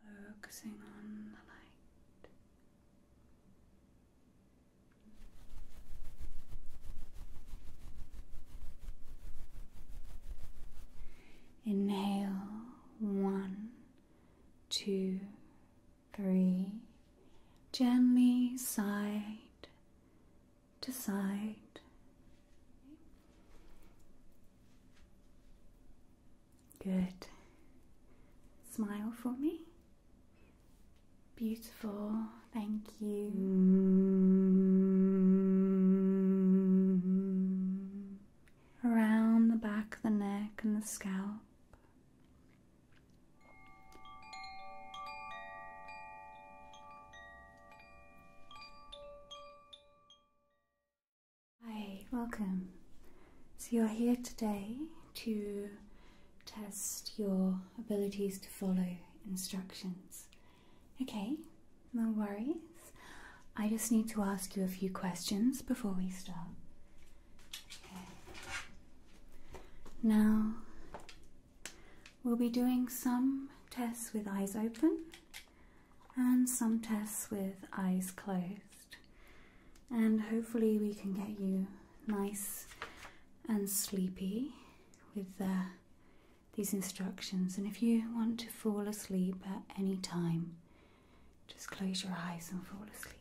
Focusing on the light. Inhale one, two, three. Gently sigh to side. Good. Smile for me. Beautiful. Thank you. Around the back of the neck and the scalp. Hi, welcome. So you're here today to test your abilities to follow instructions. Okay, no worries. I just need to ask you a few questions before we start. Okay. Now, we'll be doing some tests with eyes open and some tests with eyes closed. And hopefully, we can get you nice and sleepy with uh, these instructions. And if you want to fall asleep at any time, just close your eyes and fall asleep.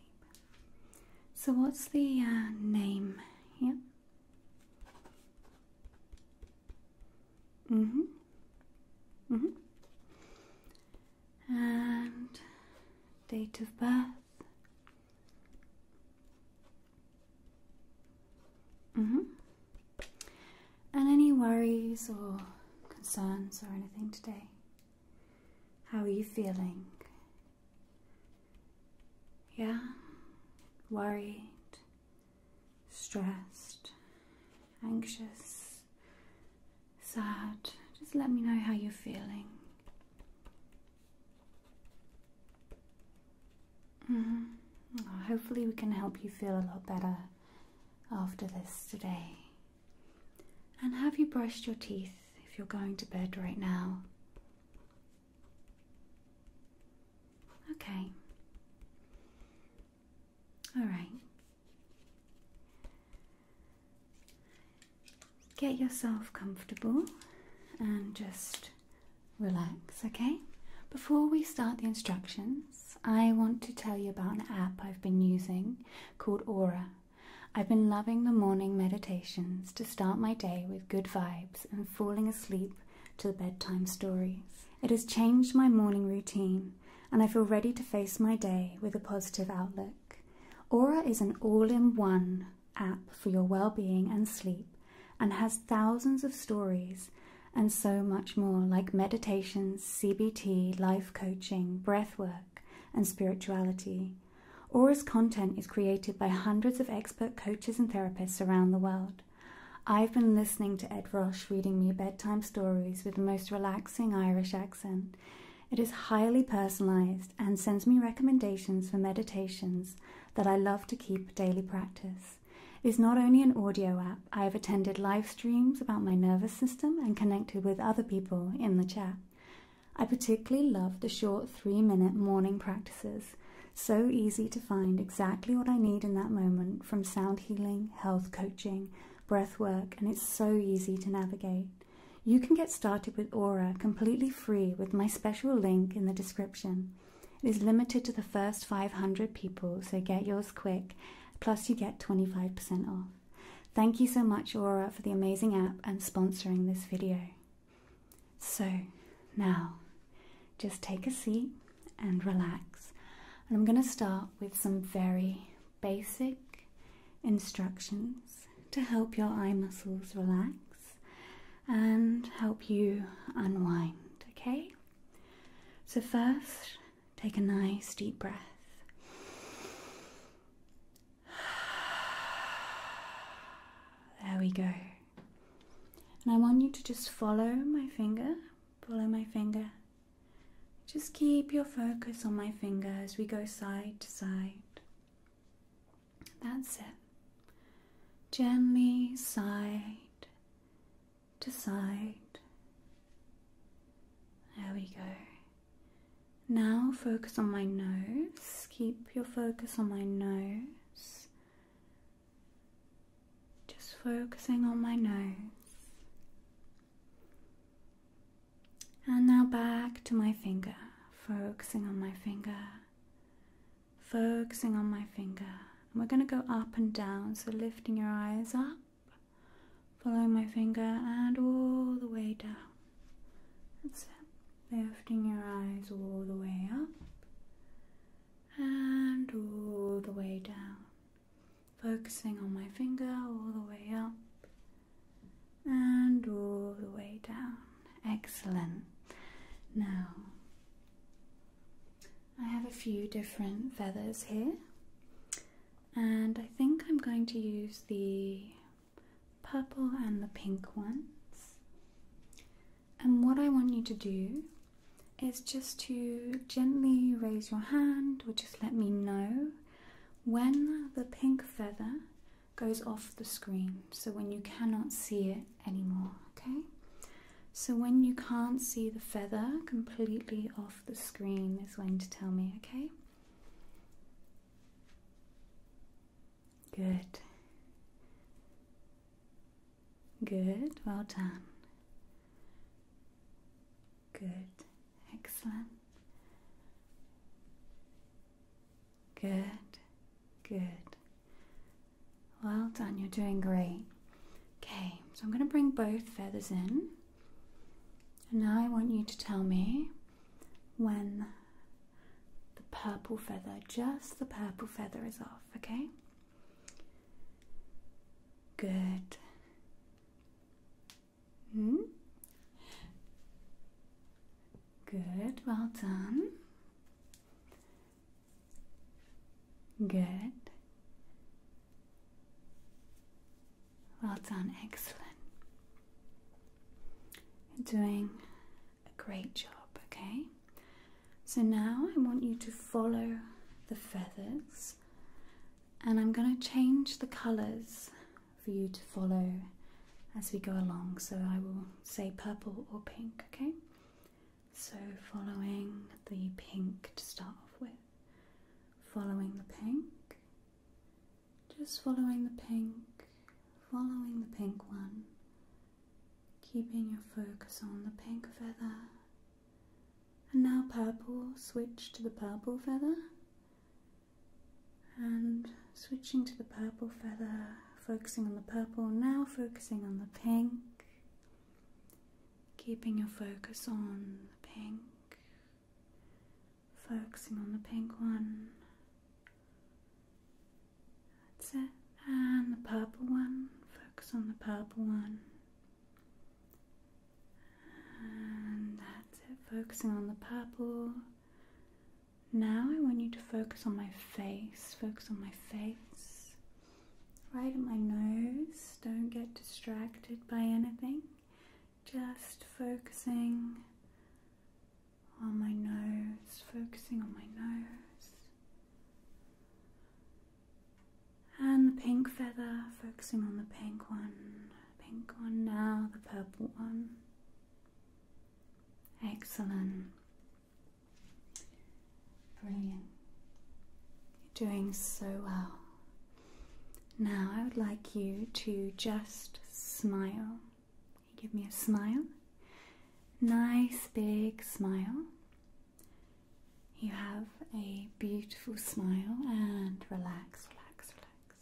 So, what's the uh, name here? Mm-hmm. Mm-hmm. And date of birth. Mm-hmm. And any worries or concerns or anything today? How are you feeling? Yeah? Worried? stressed, anxious, sad, just let me know how you're feeling. -hmm. hopefully, we can help you feel a lot better after this today. And have you brushed your teeth if you're going to bed right now? Okay. All right. Get yourself comfortable and just relax, okay? Before we start the instructions, I want to tell you about an app I've been using called Aura. I've been loving the morning meditations to start my day with good vibes and falling asleep to bedtime stories. It has changed my morning routine, and I feel ready to face my day with a positive outlook. Aura is an all in one app for your well being and sleep and has thousands of stories and so much more, like meditations, CBT, life coaching, breathwork, and spirituality. Aura's content is created by hundreds of expert coaches and therapists around the world. I've been listening to Ed Rosh reading me bedtime stories with the most relaxing Irish accent. It is highly personalized and sends me recommendations for meditations that I love to keep daily practice. It is not only an audio app, I have attended live streams about my nervous system and connected with other people in the chat. I particularly love the short three minute morning practices so easy to find exactly what I need in that moment from sound healing, health coaching, breath work, and it's so easy to navigate. You can get started with Aura completely free with my special link in the description. It is limited to the first 500 people, so get yours quick, plus, you get 25% off. Thank you so much, Aura, for the amazing app and sponsoring this video. So, now just take a seat and relax. And I'm going to start with some very basic instructions to help your eye muscles relax and help you unwind, okay? So, first, take a nice deep breath. There we go. And I want you to just follow my finger, follow my finger. Just keep your focus on my finger as we go side to side. That's it. Gently side to side. There we go. Now focus on my nose. Keep your focus on my nose. Just focusing on my nose. And now back to my finger, focusing on my finger, focusing on my finger. we're going to go up and down, so lifting your eyes up, following my finger, and all the way down. That's it. Lifting your eyes all the way up and all the way down. Focusing on my finger all the way up and all the way down. Excellent. Now, I have a few different feathers here, and I think I'm going to use the purple and the pink ones. And what I want you to do is just to gently raise your hand or just let me know when the pink feather goes off the screen. So when you cannot see it anymore, okay? So when you can't see the feather completely off the screen is when to tell me, okay? Good. Good, well done. Good, excellent. Good, good. Well done, you're doing great. Okay, so I'm going to bring both feathers in. And now I want you to tell me when the purple feather, just the purple feather, is off, okay? Good. Hmm? Good, well done. Good. Well done, excellent. doing a great job, okay? So now I want you to follow the feathers and I'm going to change the colours for you to follow as we go along. So I will say purple or pink, okay? So following the pink to start off with. Following the pink, just following the pink, following the pink one, keeping your focus on the pink feather. And now purple, switch to the purple feather. And switching to the purple feather, focusing on the purple, now focusing on the pink. Keeping your focus on the pink. Focusing on the pink one. That's it. And the purple one. Focus on the purple one. And that's it. Focusing on the purple. Now I want you to focus on my face. Focus on my face. Right at my nose. Don't get distracted by anything. Just focusing on my nose. Focusing on my nose. And the pink feather, focusing on the pink one. Pink one now, the purple one. Excellent. Brilliant. You're doing so well. Now I would like you to just smile. Give me a smile nice big smile. You have a beautiful smile and relax, relax, relax.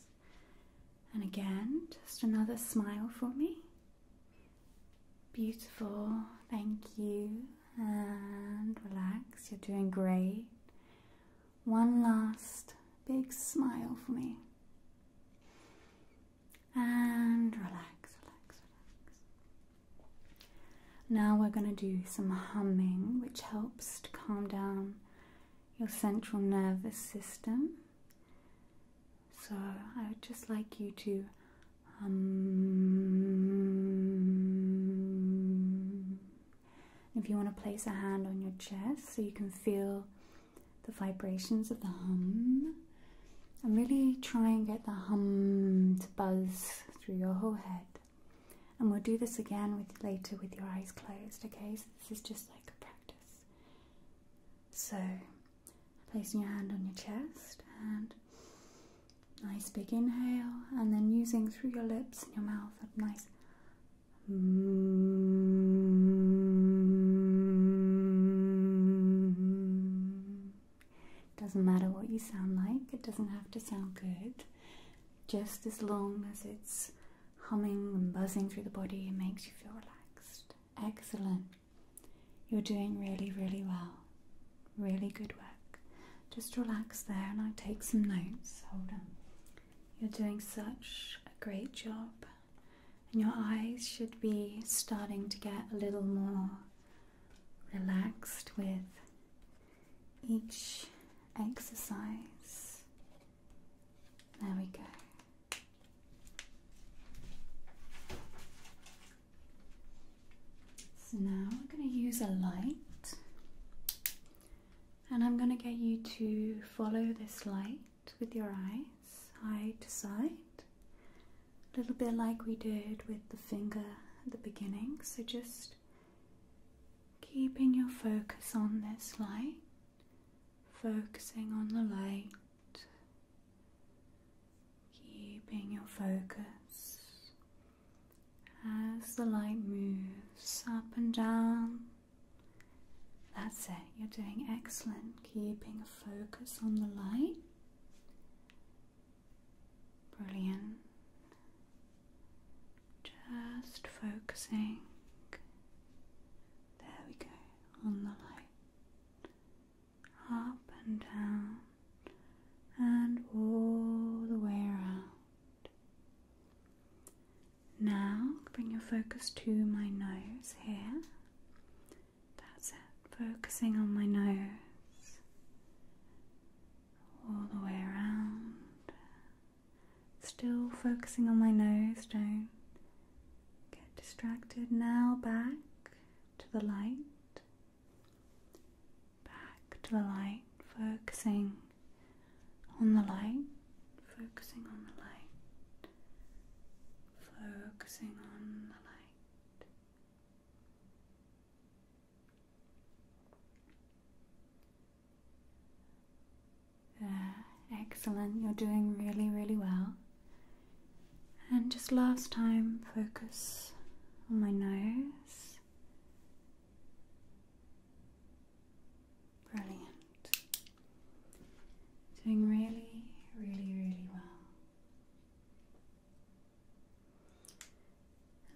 And again, just another smile for me. Beautiful, thank you. And relax, you're doing great. One last big smile for me and relax, relax, relax. Now we're going to do some humming, which helps to calm down your central nervous system. So I would just like you to hum. If you want to place a hand on your chest so you can feel the vibrations of the hum and really try and get the hum to buzz through your whole head. And we'll do this again with later with your eyes closed, okay? So this is just like a practice. So placing your hand on your chest and nice big inhale and then using through your lips and your mouth a nice mm-hmm. It doesn't matter what you sound like, it doesn't have to sound good. Just as long as it's humming and buzzing through the body, and makes you feel relaxed. Excellent. You're doing really, really well. Really good work. Just relax there and I'll take some notes. Hold on. You're doing such a great job and your eyes should be starting to get a little more relaxed with each exercise. There we go. So now I'm going to use a light. And I'm going to get you to follow this light with your eye side to side, a little bit like we did with the finger at the beginning. So just keeping your focus on this light, focusing on the light, keeping your focus as the light moves up and down. That's it, you're doing excellent. Keeping a focus on the light. Brilliant. Just focusing. There we go on the light. Up and down and all the way around. Now bring your focus to my nose here. That's it. Focusing on my nose all the way around. Still focusing on my nose, don't get distracted. Now back to the light. Back to the light, focusing on the light, focusing on the light, focusing on the light. Uh, excellent, you're doing really, really well. And just last time, focus on my nose. Brilliant. Doing really, really, really well.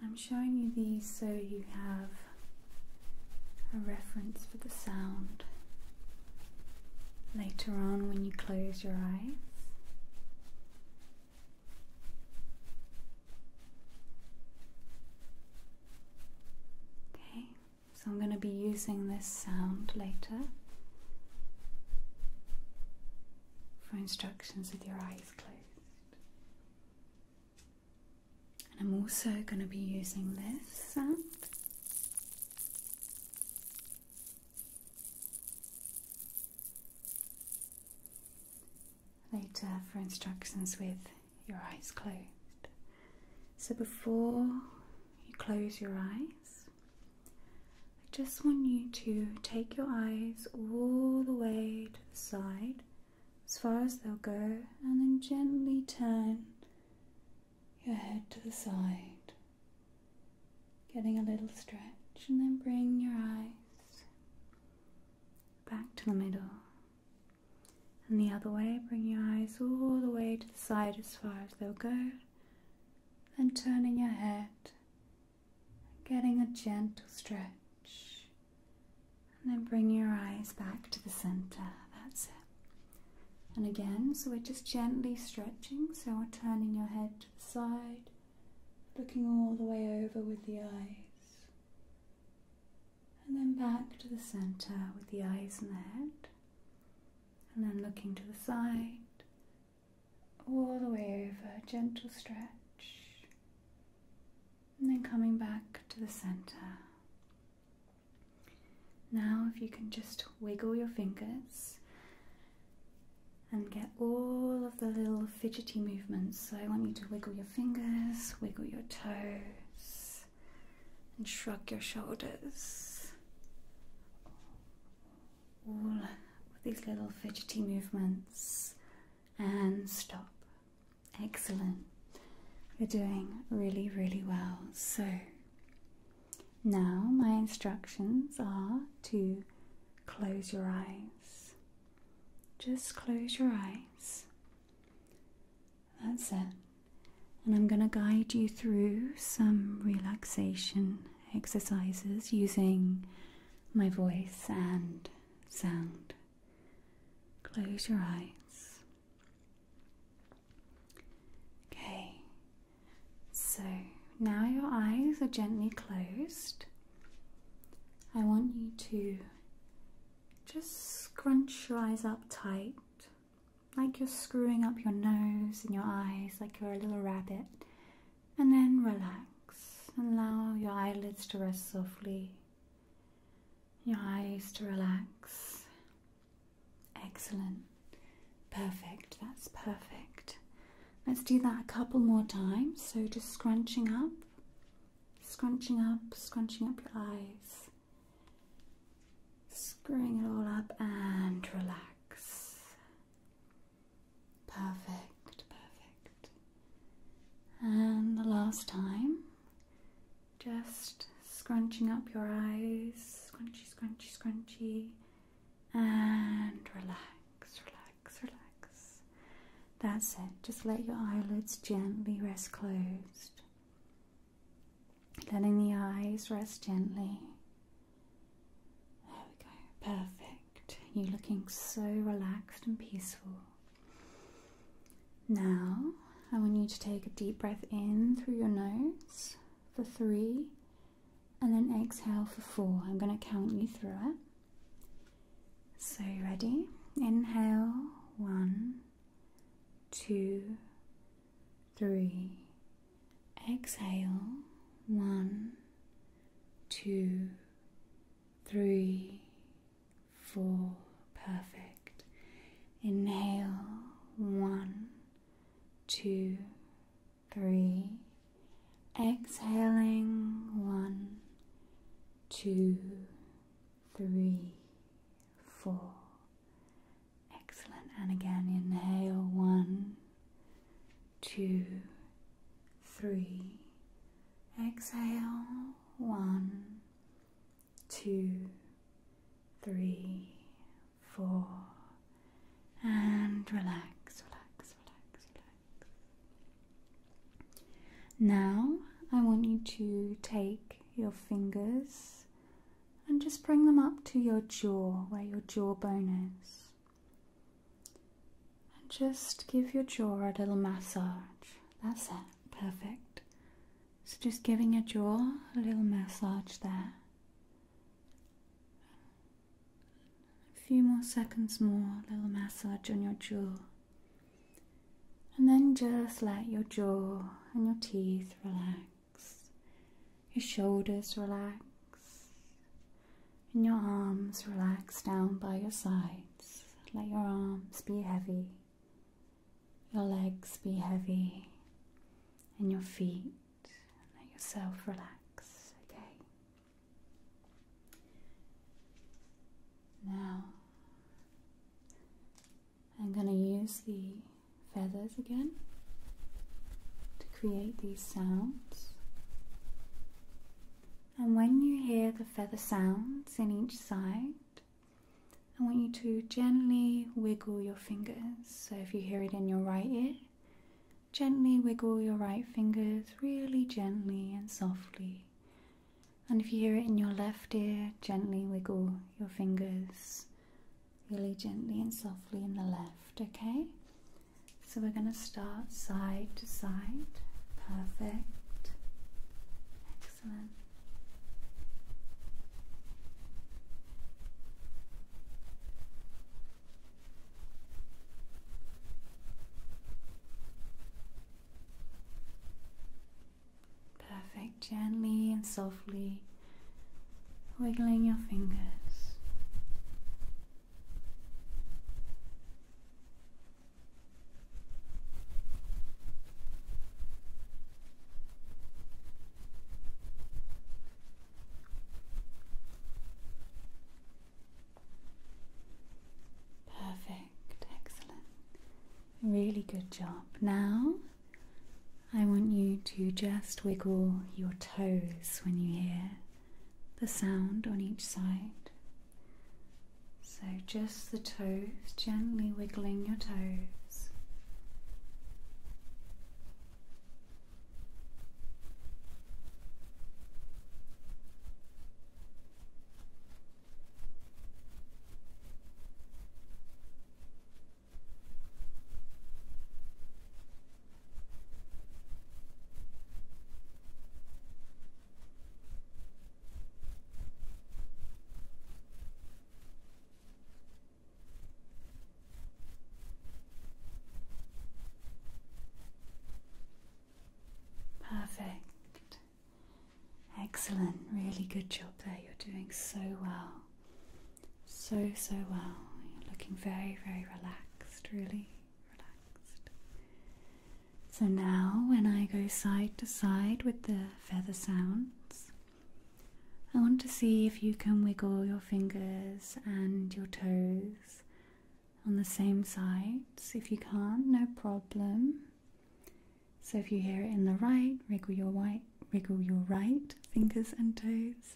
I'm showing you these so you have a reference for the sound later on when you close your eyes. Okay, so I'm going to be using this sound later for instructions with your eyes closed. And I'm also going to be using this sound. Later for instructions with your eyes closed. So before you close your eyes, I just want you to take your eyes all the way to the side as far as they'll go, and then gently turn your head to the side, getting a little stretch, and then bring your eyes back to the middle. And the other way, bring your eyes all the way to the side as far as they'll go, and turning your head, getting a gentle stretch, and then bring your eyes back to the center. That's it. And again, so we're just gently stretching, so turning your head to the side, looking all the way over with the eyes, and then back to the center with the eyes and the head and then looking to the side, all the way over, a gentle stretch, and then coming back to the center. Now, if you can just wiggle your fingers and get all of the little fidgety movements. So, I want you to wiggle your fingers, wiggle your toes, and shrug your shoulders all with these little fidgety movements and stop. Excellent. You're doing really, really well. So now my instructions are to close your eyes. Just close your eyes. That's it. And I'm going to guide you through some relaxation exercises using my voice and sound. Close your eyes. Okay, so now your eyes are gently closed. I want you to just scrunch your eyes up tight like you're screwing up your nose and your eyes like you're a little rabbit, and then relax and allow your eyelids to rest softly, your eyes to relax. Excellent, perfect, that's perfect. Let's do that a couple more times. So, just scrunching up, scrunching up, scrunching up your eyes. Screwing it all up and relax. Perfect, perfect. And the last time, just scrunching up your eyes, scrunchy, scrunchy, scrunchy, and relax, relax, relax. That's it, just let your eyelids gently rest closed letting the eyes rest gently. There we go, perfect. You're looking so relaxed and peaceful. Now, I want you to take a deep breath in through your nose for three and then exhale for four. I'm going to count you through it. So, ready? Inhale, one, two, three, Exhale one, two, three, four. Perfect. Inhale one, two, three. Exhaling one, two, three, four. Excellent. And again, inhale one, two, three. Exhale one, two, three, four. And relax, relax, relax, relax. Now I want you to take your fingers and just bring them up to your jaw, where your jawbone is. And just give your jaw a little massage. That's it, perfect. So just giving your jaw a little massage there. A few more seconds more, a little massage on your jaw. And then just let your jaw and your teeth relax your shoulders relax, and your arms relax down by your sides. Let your arms be heavy, your legs be heavy, and your feet. Let yourself relax, okay? Now, I'm going to use the feathers again to create these sounds. And when you hear the feather sounds in each side, I want you to gently wiggle your fingers. So if you hear it in your right ear, gently wiggle your right fingers really gently and softly. And if you hear it in your left ear, gently wiggle your fingers really gently and softly in the left, okay? So we're going to start side to side. Perfect. Excellent. Perfect. Gently and softly wiggling your fingers. Perfect, excellent. Really good job. Now I want you to just wiggle your toes when you hear the sound on each side. So, just the toes, gently wiggling your toes. Perfect. Excellent. Really good job there. You're doing so well. So, so well. looking very, very relaxed, really relaxed. So now, when I go side to side with the feather sounds, I want to see if you can wiggle your fingers and your toes on the same sides. If you can't, no problem. So if you hear it in the right, wriggle your right, wriggle your right fingers and toes.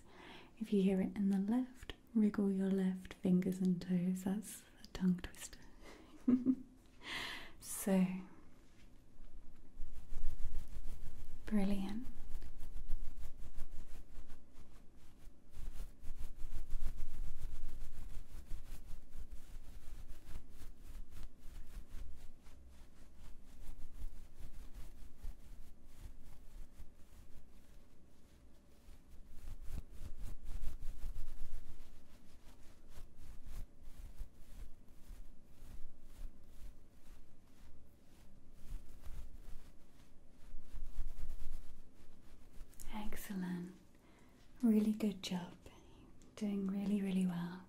If you hear it in the left, wriggle your left fingers and toes. That's a tongue twister. so brilliant. Excellent. Really good job. Doing really, really well.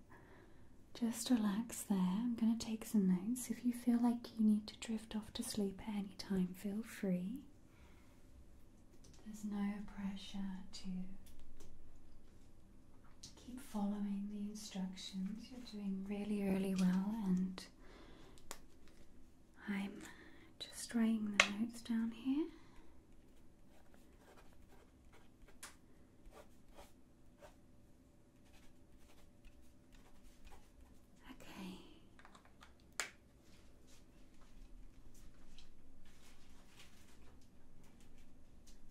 Just relax there. I'm going to take some notes. If you feel like you need to drift off to sleep at any time, feel free. There's no pressure to keep following the instructions. You're doing really, really well, and I'm just writing the notes down here. Okay.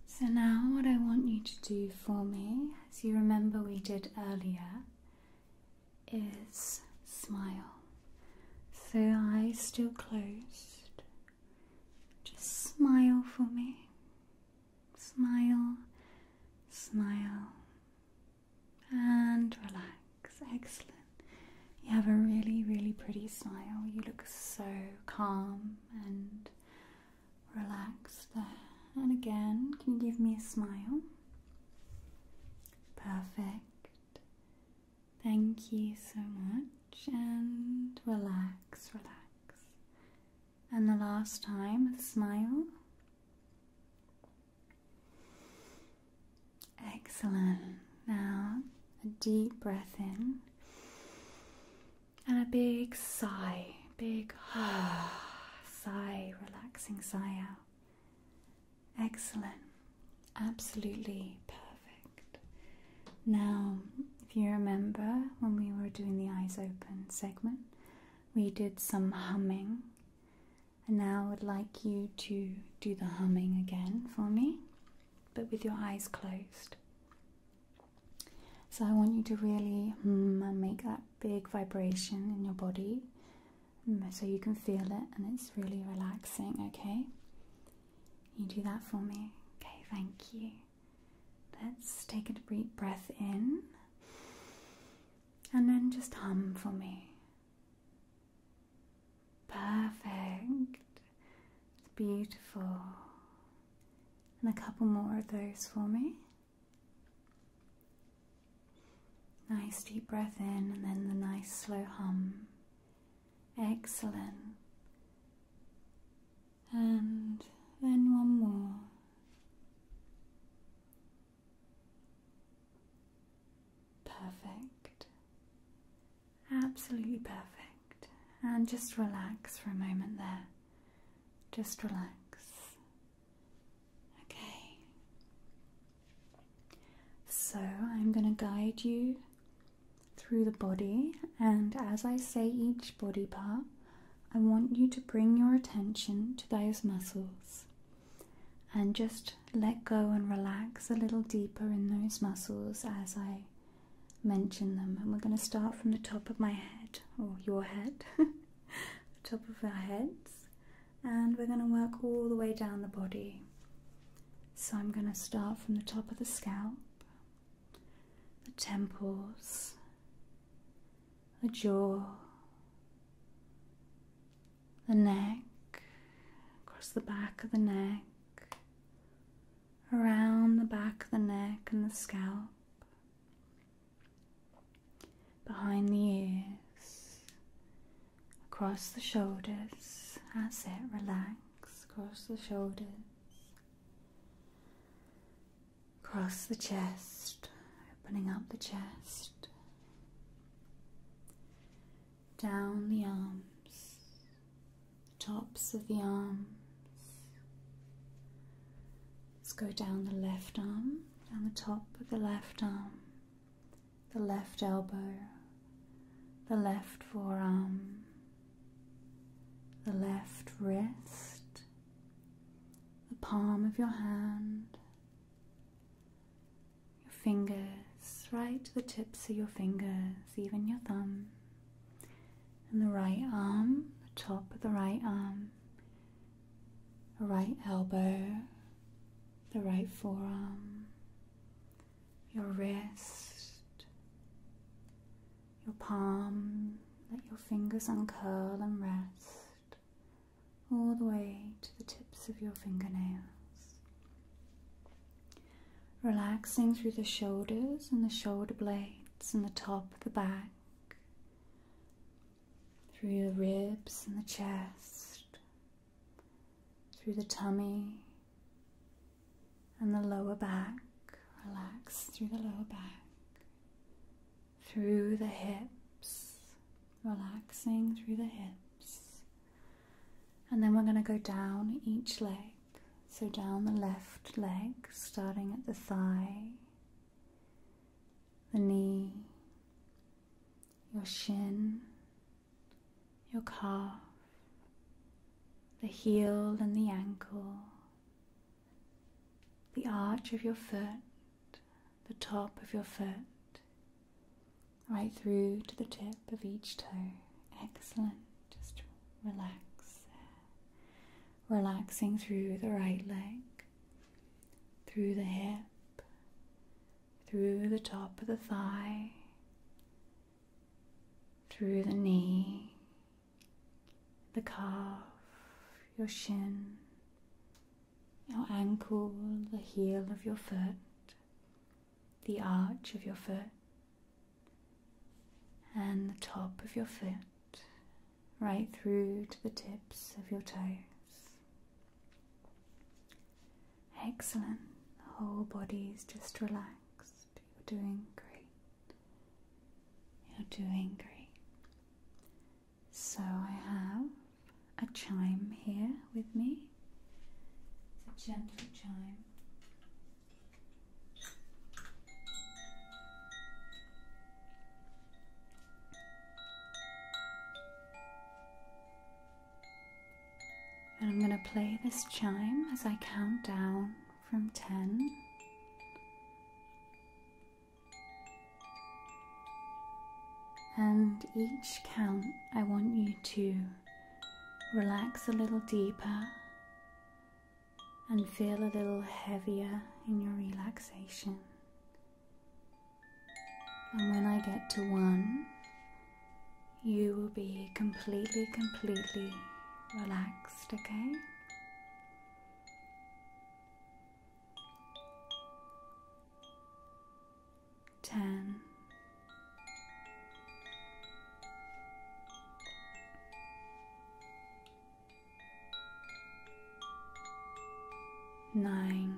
So now, what I want you to do for me, as you remember we did earlier, is smile. So, eyes still closed. Just smile for me. Smile, smile, and relax. Excellent. You have a really, really pretty smile. You look so calm and relaxed there. And again, can you give me a smile? Perfect. Thank you so much and relax, relax. And the last time, smile. Excellent. Now, a deep breath in and a big sigh, big sigh, relaxing sigh out. Excellent. Absolutely perfect. Now, if you remember when we were doing the eyes open segment, we did some humming. And now I would like you to do the humming again for me, but with your eyes closed. So I want you to really mm, make that big vibration in your body mm, so you can feel it and it's really relaxing, okay? You do that for me. Okay, thank you. Let's take a deep breath in and then just hum for me. Perfect. It's beautiful. And a couple more of those for me. Nice deep breath in and then the nice slow hum. Excellent and then one more. Perfect, absolutely perfect. And just relax for a moment there. Just relax. Okay. So I'm going to guide you through the body, and as I say each body part, I want you to bring your attention to those muscles and just let go and relax a little deeper in those muscles as I mention them. And we're going to start from the top of my head, or your head, the top of our heads, and we're going to work all the way down the body. So I'm going to start from the top of the scalp the temples, the jaw, the neck, across the back of the neck, around the back of the neck and the scalp, behind the ears, across the shoulders. That's it, relax across the shoulders. Cross the chest, opening up the chest, down the arms, tops of the arms. Let's go down the left arm, down the top of the left arm, the left elbow, the left forearm, the left wrist, the palm of your hand, your fingers, right to the tips of your fingers, even your thumb, and the right arm, the top of the right arm, the right elbow, the right forearm, your wrist, your palm. Let your fingers uncurl and rest all the way to the tips of your fingernails. Relaxing through the shoulders and the shoulder blades and the top of the back, through the ribs and the chest, through the tummy and the lower back. Relax through the lower back, through the hips, relaxing through the hips. And then we're going to go down each leg. So down the left leg, starting at the thigh, the knee, your shin, your calf, the heel and the ankle, the arch of your foot, the top of your foot, right through to the tip of each toe. Excellent. Just relax. Relaxing through the right leg, through the hip, through the top of the thigh, through the knee, the calf, your shin, your ankle, the heel of your foot, the arch of your foot, and the top of your foot, right through to the tips of your toes. Excellent. The whole is just relaxed. You're doing great. You're doing great. So I have a chime here with me. It's a gentle chime. And I'm going to play this chime as I count down from 10. And each count, I want you to relax a little deeper and feel a little heavier in your relaxation. And when I get to one, you will be completely, completely relaxed, okay? Ten. Nine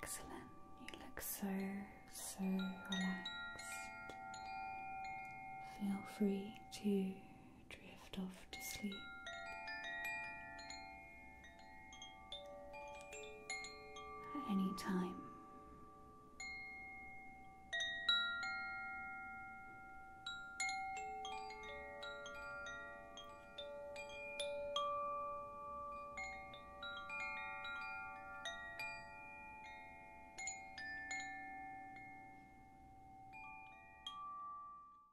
Excellent. You look so, so relaxed. Feel free to drift off to sleep. At any time.